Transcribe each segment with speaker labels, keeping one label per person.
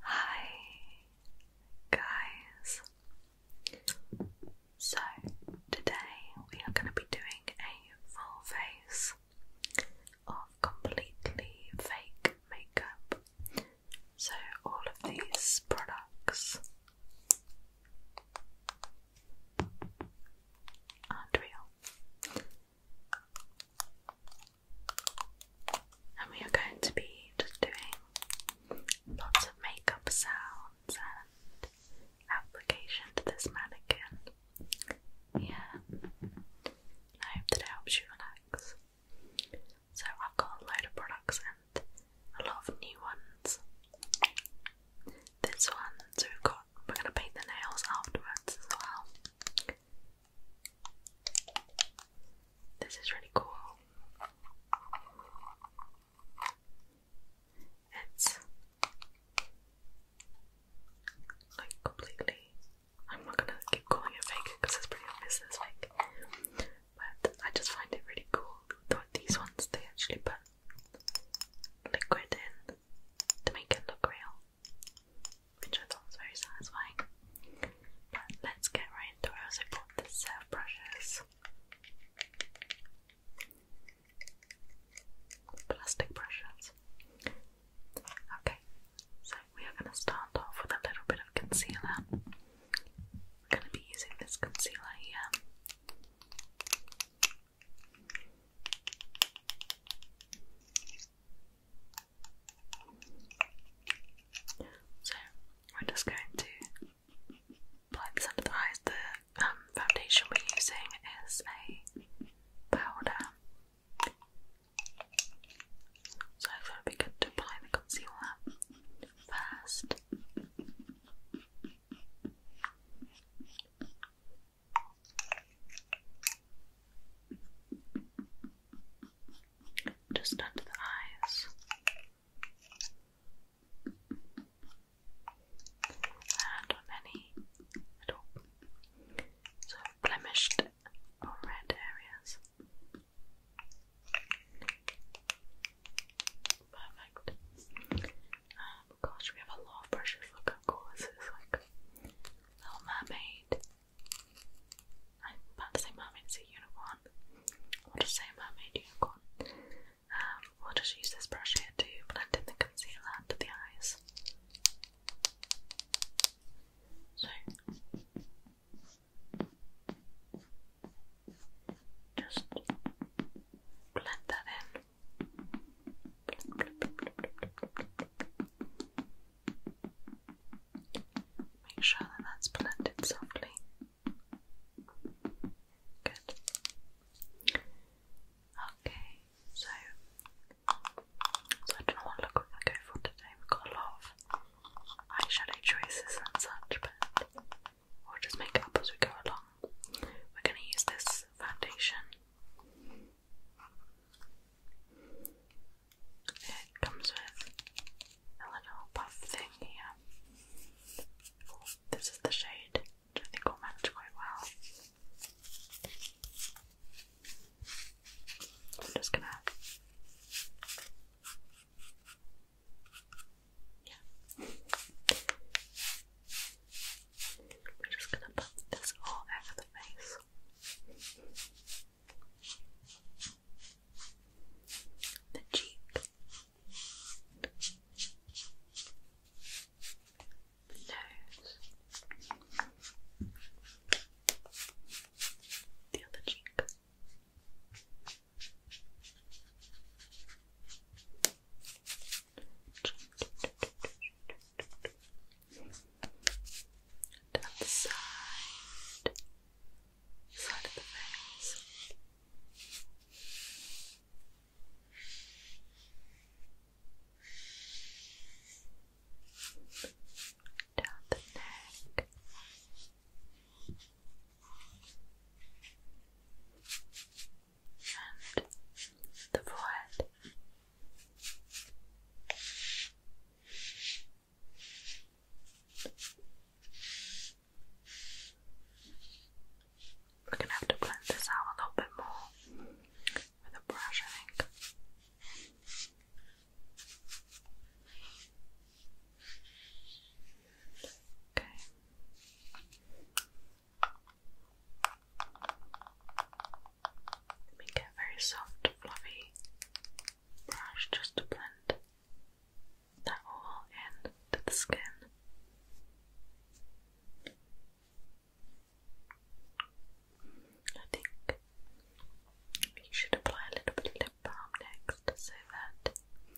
Speaker 1: Hi guys. So today we are going to be doing a full face of completely fake makeup. So all of these products aren't real. And we are going to be just doing lots of makeup sounds and application to this mannequin. Yeah. I hope that it helps you relax. So I've got a load of products and a lot of new ones. This one, so we've we're gonna paint the nails afterwards as well. This is really cool. It's like completely. I'm not gonna keep calling it fake because it's pretty obvious it's fake. But I just find it really cool that these ones they actually put liquid in to make it look real which I thought was very satisfying. But let's get right into it. I also bought this set brushes. Plastic brushes. Okay, so we are going to start off with a little bit of concealer. We're going to be using this concealer here. So we're just going to apply this under the eyes. The um, foundation we're using is a powder. So I thought it'd be good to apply the concealer first just under the eyes. And on any little blemished or red areas. Perfect. Um, gosh, we have a lot of brushes. Look how cool this is. Like Little Mermaid, about to say mermaid's a unicorn. I'll just say mermaid unicorn. Um, we'll just use this brush here to blend in the concealer under the eyes. So just blend that in. Make sure that that's blended softly. Good. Okay, so, so I don't know what look we're going to go for today. We've got a lot of eyeshadow choices and such, but we'll just make up as we go along. We're going to use this foundation. It comes with a little puff thing here. This is the shade, which I think will match quite well. I'm just gonna yeah. We're just gonna put this all over the face the cheek, the nose, the other cheek down the side, side of the face. Down the neck, and the forehead. We're gonna have to blend this out a little bit more with a brush, I think. Okay. Let a very soft, fluffy brush just to blend that all in to the skin. I think you should apply a little bit of lip balm next so that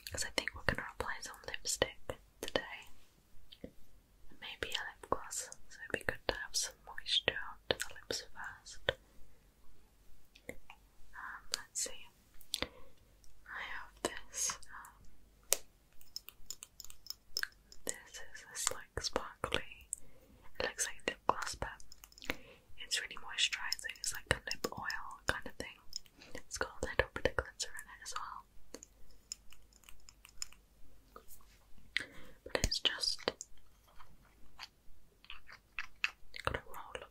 Speaker 1: because I think we're going to apply some lipstick today maybe a lip gloss so it'd be good to have some moisture onto the lips first let's see. I have this. Um, this is this like sparkly. It looks like lip gloss, but it's really moisturizing. It's like a lip oil kind of thing. It's got a glitter in it as well. But it's just Got a roller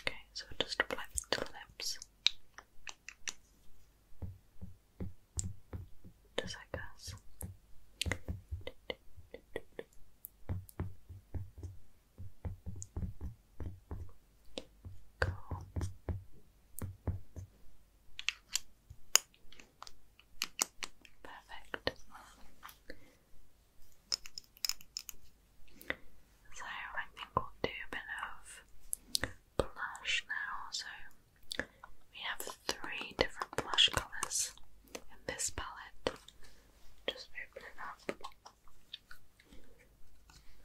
Speaker 1: Okay, so just apply this to the lips. Just like this. Cool. Perfect. So I think we'll do a bit of blush now. So we have three different blush colours in this palette. Just open up.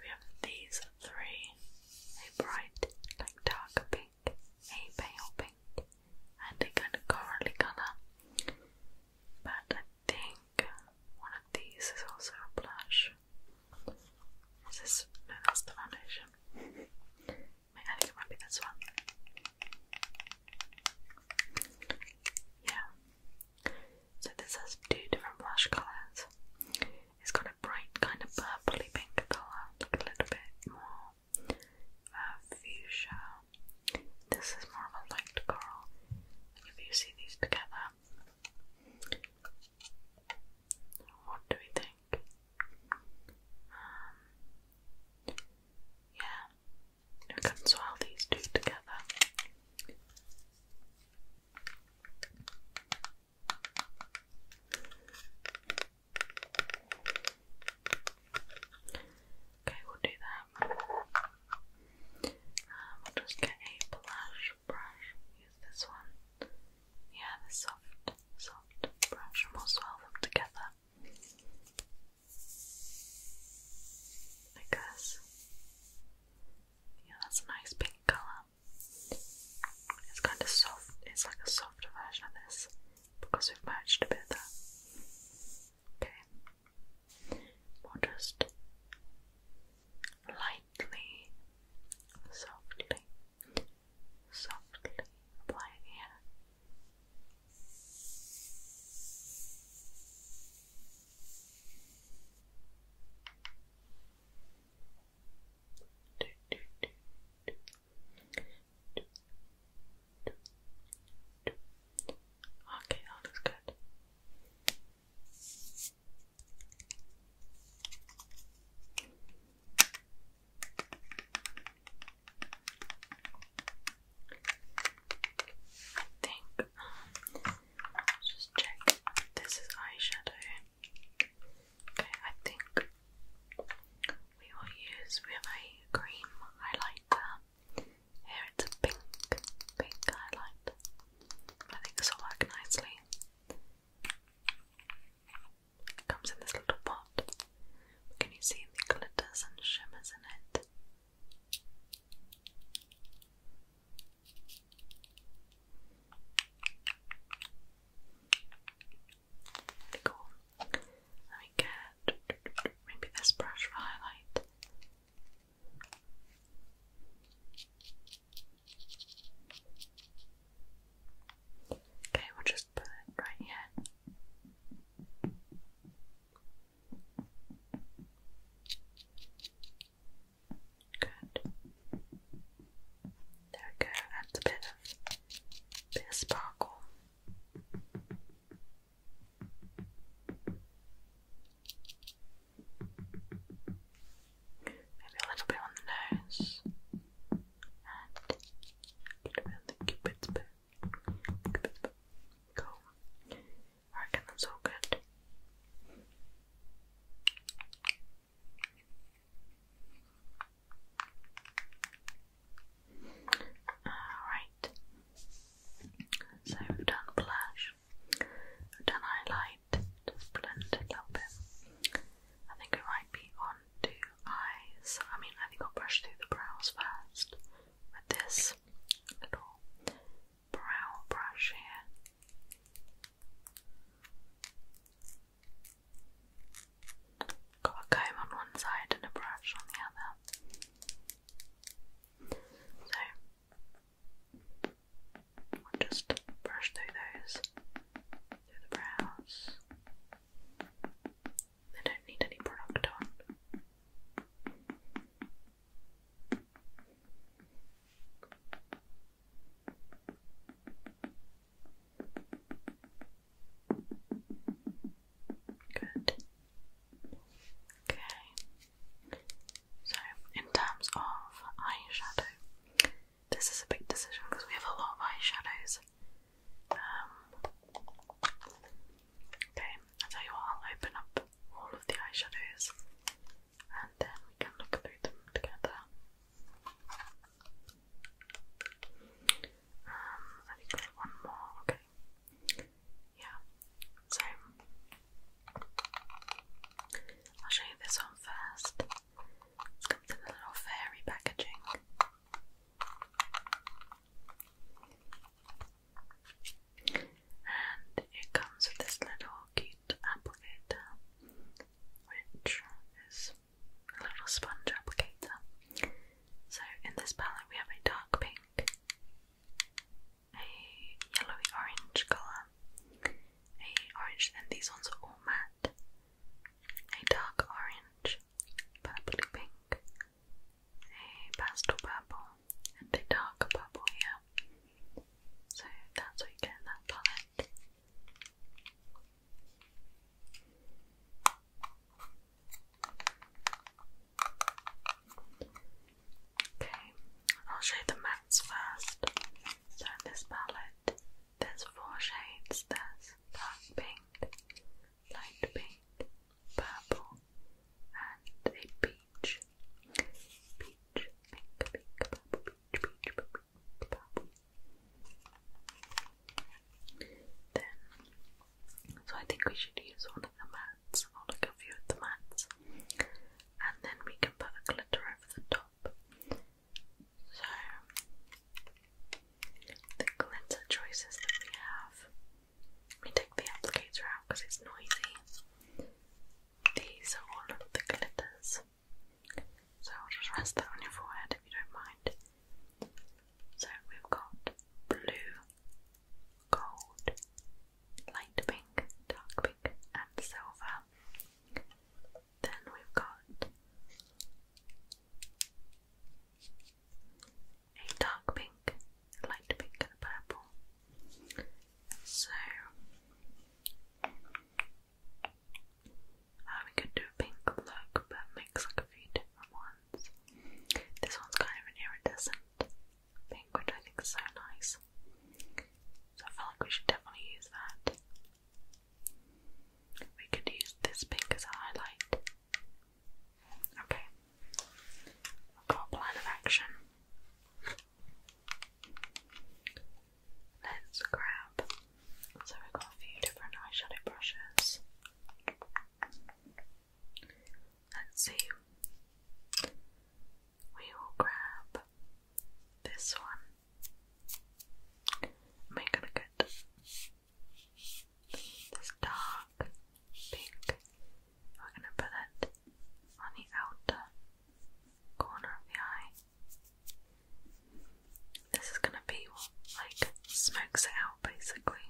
Speaker 1: We have these three a bright, like darker pink, a pale pink, and a kind of corally colour. But I think one of these is also a blush. Is this? No, that's the foundation. Wait, I think it might be this one. Yeah. So this has two different blush colours. It's got a bright kind of purpley pink colour, like a little bit more uh, fuchsia. This is more of a light coral. if you see these together, what do we think? Um, yeah, we can swirl these two together. Okay, we'll do that. we'll um, just get a blush brush. Use this one. Yeah, the soft, soft brush, we'll swirl them together. Like Yeah, that's a nice pink colour. It's kind of soft, it's like a softer version of this because we've merged a bit there. Okay, we lightly, softly, softly apply Okay, that looks good. I think let's um, just check. This is eyeshadow. Okay, I think we will use we have a cream highlighter. Here it's a pink, pink highlight. I think this will work nicely. comes in this little pot. Can you see the glitters and shimmers in it? cool. Let me get maybe this brush for highlight. Okay, we'll just put it right here. Good. There we go. That's a bit of bit of sparkle. Maybe a little bit on the nose. And a little bit on cupid's bow. Cupid's bow. Cool. I reckon good. Alright, so we've done blush, we've done highlight, just blend it a little bit. I think we might be on to eyes. I mean, I think I'll brush through the brows first with this little brow brush here. Got a comb on one side and a brush on the other. So I'll just brush through those, through the brows. They don't need any product on. Good. Okay. So, in terms of eyeshadow, this is a big decision because we have a lot of eyeshadows. Um, okay, i tell you what, I'll open up all of the eyeshadows and then we can look through them together. Um, I think one more, okay. Yeah, so I'll show you this one first. This comes in a little fairy packaging. And it comes with this little cute applicator, which is a little sponge applicator. So in this palette we have a dark pink, a yellowy orange colour, a orange, and these ones are all matte, a dark orange, purpley pink, a pastel purple, and a dark purple here. So that's what you get in that palette. Okay, I'll show you the mats first. So in this palette, there's four shades. There's dark pink, light pink, purple, and a peach. Then, so I think we should use one of the mats, or like a few of the mats, and then we can put a glitter over the top. So, the glitter choices that we have, we take the applicator out because it's noisy. These are all of the glitters. So I'll just rest that on your forehead if you don't mind. So we've got blue, gold, light pink, dark pink, and silver. Then we've got a dark pink, light pink, and purple. So uh, we could do a pink look, but mix like a few different ones. This one's kind of an iridescent pink, which I think is so nice. So I feel like we should definitely use that. We could use this pink as a highlight. Okay, got a plan of action. Let's grab. So we've got a few different eyeshadow brushes. Let's see. We will grab this one. Make a look at this dark pink. We're gonna put it on the outer corner of the eye. This is gonna be what like smokes it out basically.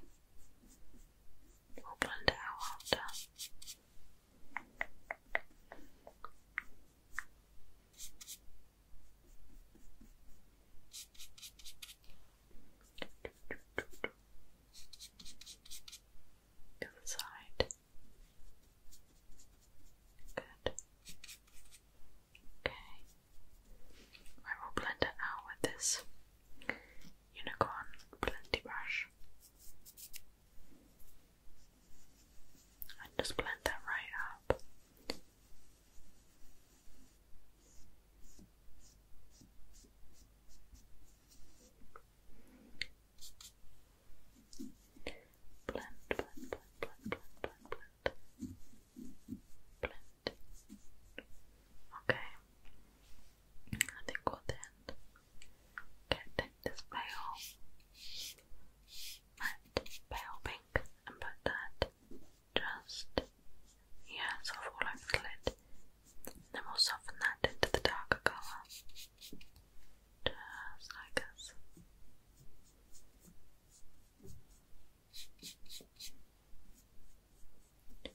Speaker 1: We'll blend it out after. The other side. Good. Okay. I will blend it out with this unicorn plenty brush. And just blend that right up blend, blend, blend, blend, blend, blend, blend. Okay, I think we'll then okay, take this pale, pale pink and put that just yeah, all over the lid. Then we'll soften that into the darker colour just like us. Good.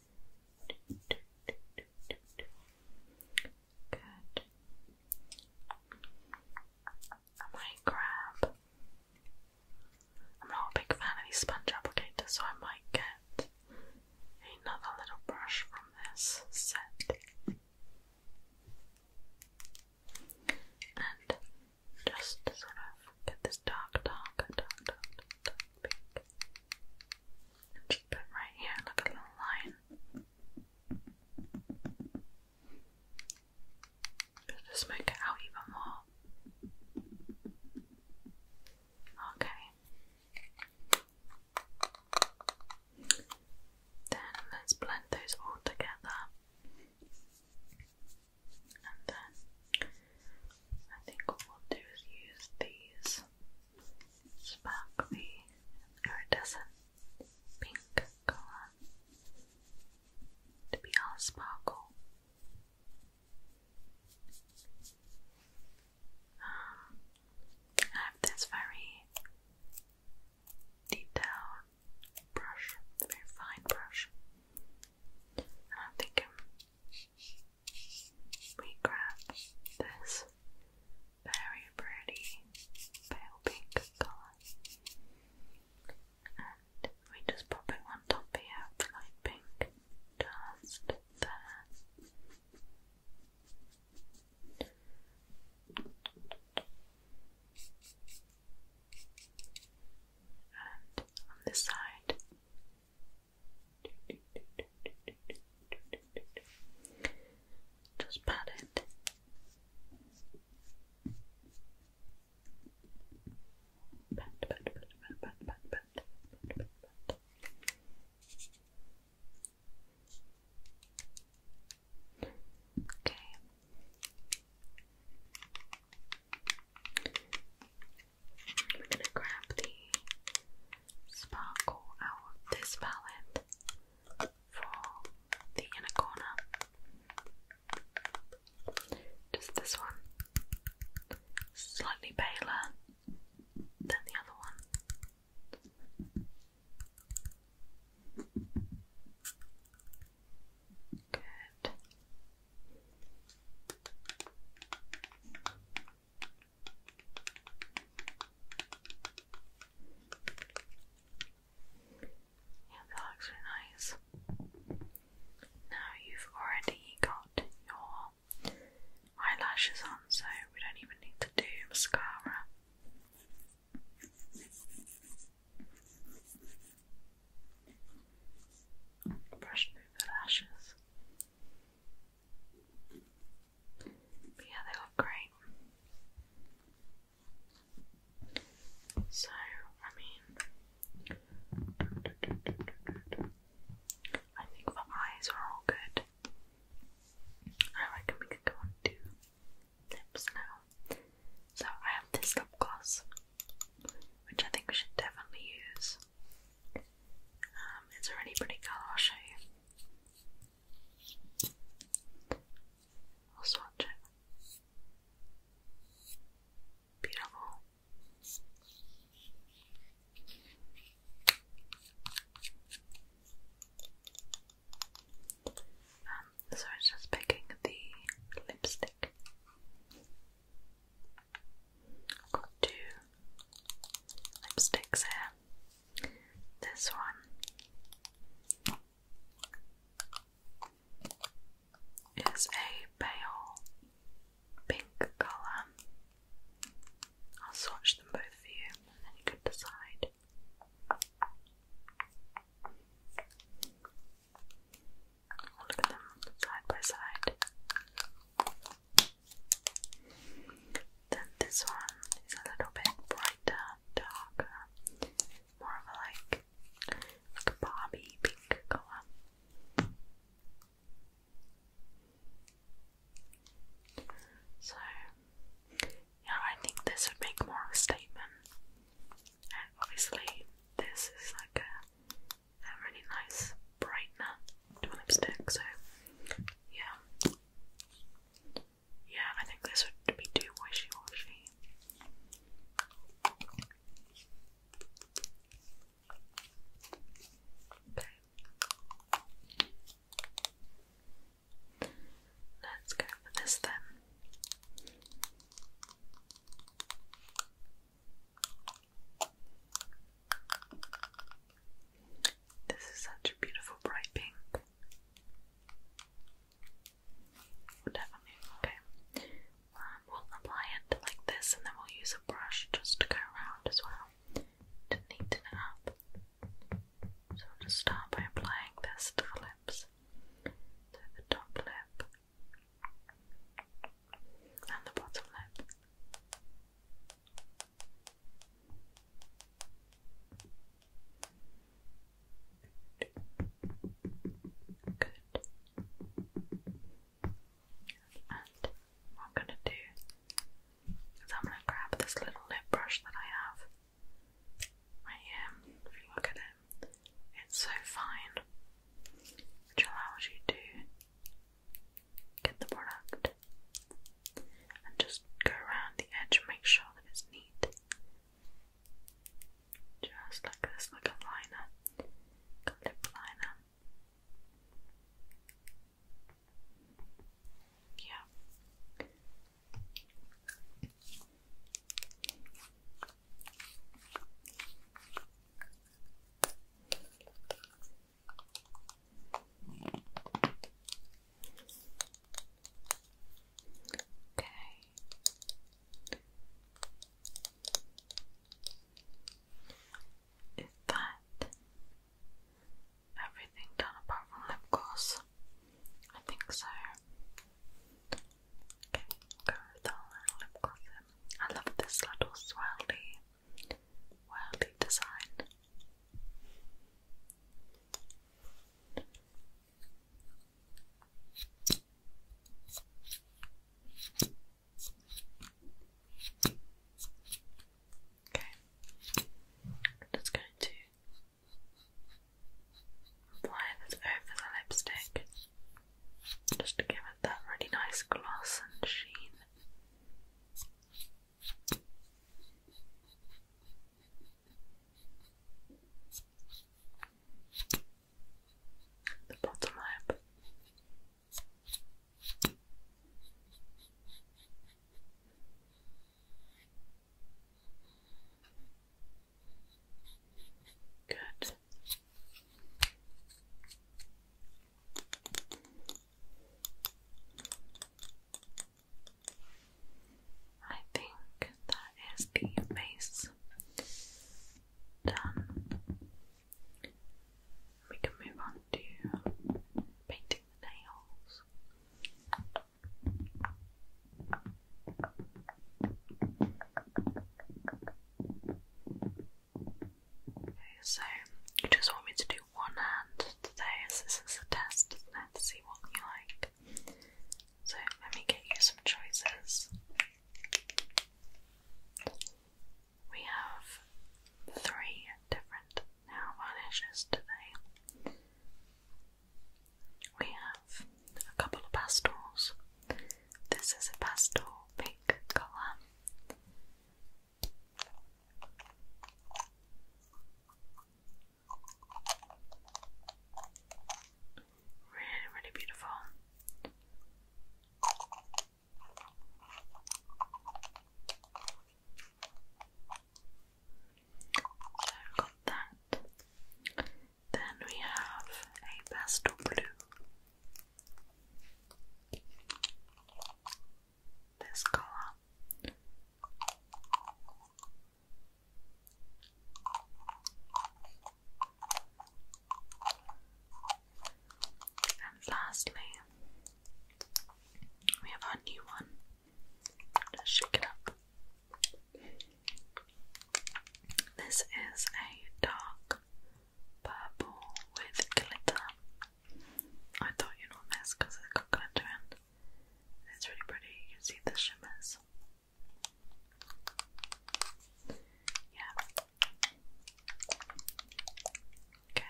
Speaker 1: I might grab. I'm not a big fan of these sponge applicators, so I might get another little brush from this set and just sort of get this dark, dark, dark, dark, dark pink. And just put right here like a little line. Just smoke it out even more. Okay. Then let's blend those all together. And then I think what we'll do is use these sparkly iridescent pink colour to be our sparkle. Um, I have this very detailed brush, very fine brush. I think we grab this very pretty pale pink colour and we just pop it on top here light pink just there and on this side. Just pat it. pat, pat, pat, pat, pat, pat, pat, pat, pat. Okay. We're gonna grab the sparkle out this palette for the inner corner. Just this one. Slightly paler than the other one. Good. Yeah, that looks really nice. Now you've already got your eyelashes on, so we don't even need to do mascara. Brush through the lashes. yeah, they look great. So, I mean, I think the eyes are all good. I reckon we could go lips now. So I have this lip gloss, which I think we should definitely use. Um, it's a pretty colour, I'll show you. I'll swatch it. Beautiful. Um, so it's just picking the lipstick. got two lipsticks here. This one is a pale pink colour. I'll swatch them both for you and then you can decide Look at them side by side. Then this one is a little bit brighter, darker, more of a like, Barbie pink color. So, yeah, I think this would make more of a statement. And obviously, this is like a, a really nice brightener to a lipstick, so yeah. Yeah, I think this would be too wishy washy. Let's go for this then. This is such a beautiful bright pink. definitely, okay. Um, we'll apply it like this and then we'll use a brush just to go around as well to neaten it up. So I'll just start by applying this to the lips. So the top lip and the bottom lip. Good. And what i going to do so I'm going to grab this little lip brush that I have right here. If you look at it, it's so fine, which allows you to get the product and just go around the edge make sure that it's neat. Just like this, like a liner, a lip liner. Yeah. Okay. Is that everything done apart from lip gloss. I think so. Okay, go with all lip gloss I love this little swirly, whirly design. Okay, I'm just going to Apply this over the lipstick just to give it that really nice gloss and sheen. The bottom lip. Good. I think that is the base done. We can move on to painting the nails so you just want me to do one hand today as this is a test, is to see what you like. So let me get you some choices. We have three different now vanishes today. We have a couple of pastels. This is a pastel pink colour. Really, really beautiful. So i got that. Then we have a pastel blue. This colour. And lastly, we have our new one. Let's shake it up. This is a dark purple with glitter. I thought you'd want this because it's got glitter in. It's really pretty. You can see the shimmers. Yeah. Okay.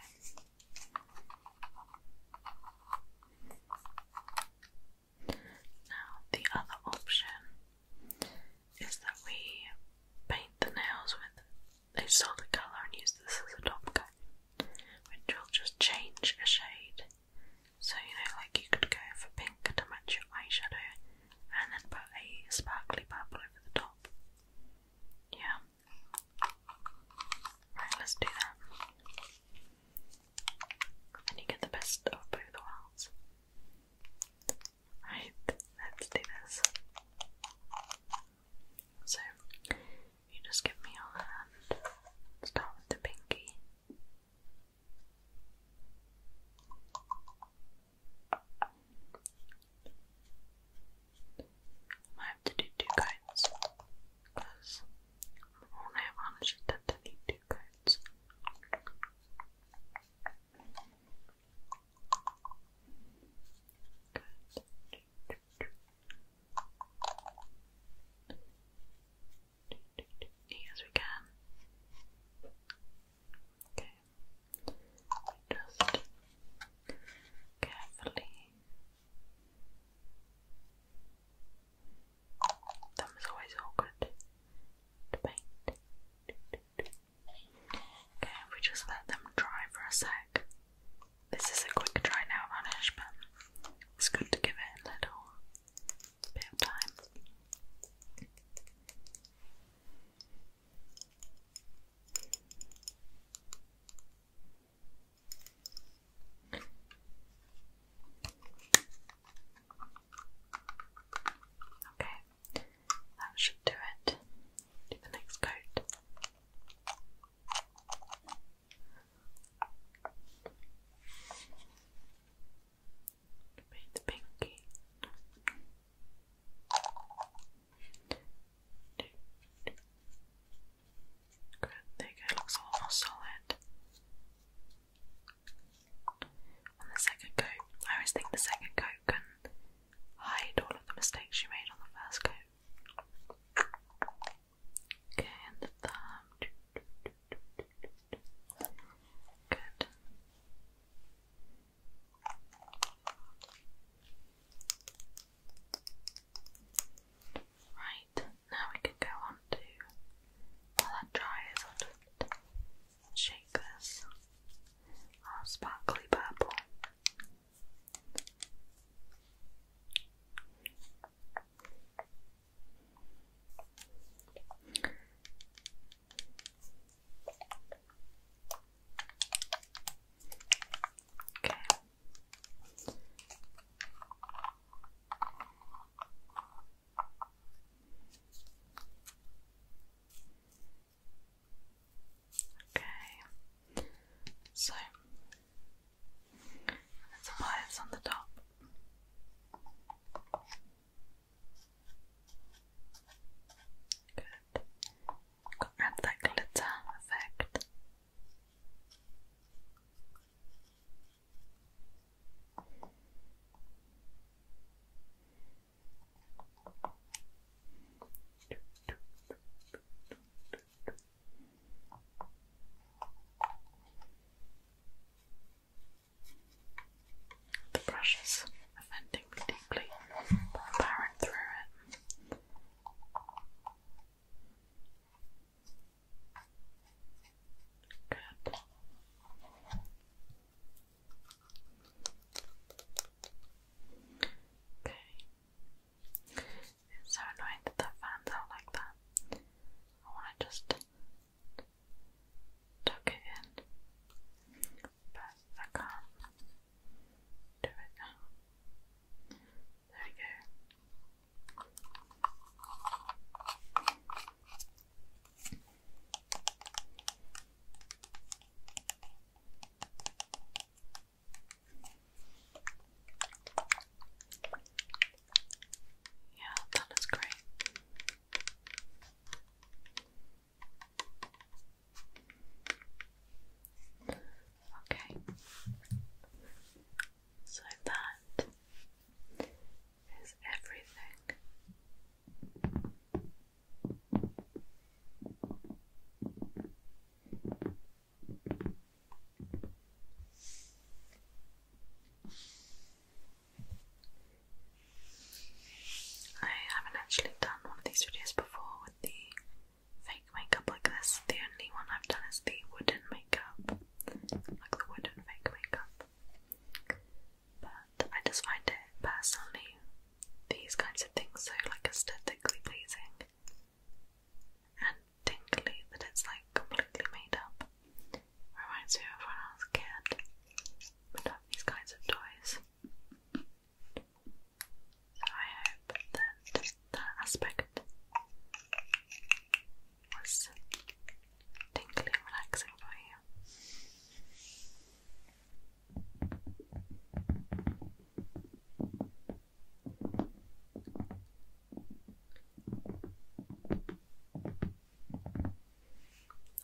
Speaker 1: Now, the other option is that we paint the nails with a solid colour and use this as a top coat, which will just change a shade. So, you know, like you could go for pink to match your eyeshadow and then put a sparkly purple over the top. Yeah. Right, let's do that. Then you get the best of both worlds. Right, let's do this. So, you just give me your hand. Start with the pinky. I might have to do two coats because all nail varnishes tend to need two coats. Good. as we can. Okay. Just carefully Thumbs always awkward to paint. Okay, if we just let them dry for a sec. This is a quick dry now varnish, but it's good to give it a little bit of time. Okay, that should do it. Do the next coat. Paint the pinky. Good, there you go, looks solid. On the second coat, I always think the second coat can hide all of the mistakes you made on the first coat. Okay, and the thumb. Good. Right, now we can go on to while that dries, I'll just shake this our sparkly purple. Okay, Okay, so there's the wires on the top. Good add that glitter effect. The brushes are deeply, but through it. Good. Okay. It's so annoying that that fan's out like that. I want to just tuck it in, but I can't do it now. There we go. Yeah, that great. Okay, so that is everything. I haven't actually done one of these videos before with the fake makeup like this. The only one I've done is the wooden makeup, like the wooden fake makeup. But I just find it personally, these kinds of things so like aesthetically pleasing and tingly that it's like completely made up. Reminds me of when I was a kid. these kinds of toys. I hope that that aspect was tingly relaxing for you.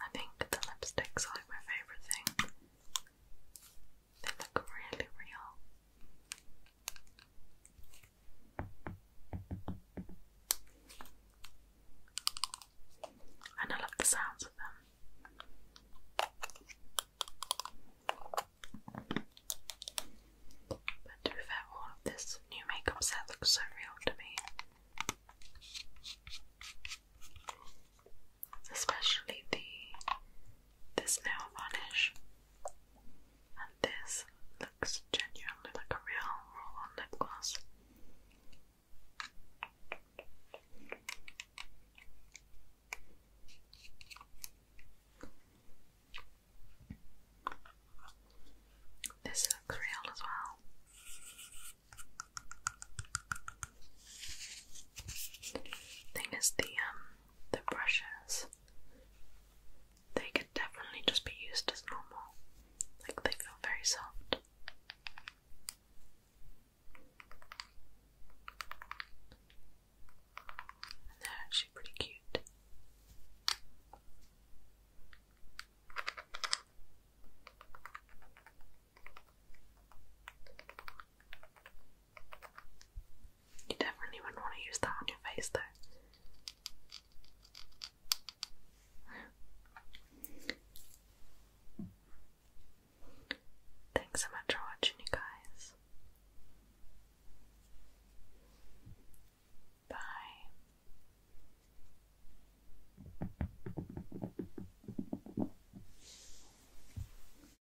Speaker 1: I think the lipsticks are like my favourite thing. They look really real. And I love the sounds of them. But to be fair, all of this new makeup set looks so real to me. Especially the this nail varnish, and this looks genuinely like a real roll on lip gloss. This looks real as well. Thing is, the um, the brushes, they could definitely just be used as normal. Like they feel very soft. they're actually pretty cute. You definitely wouldn't want to use that on your face though. Thanks so much for watching, you guys. Bye.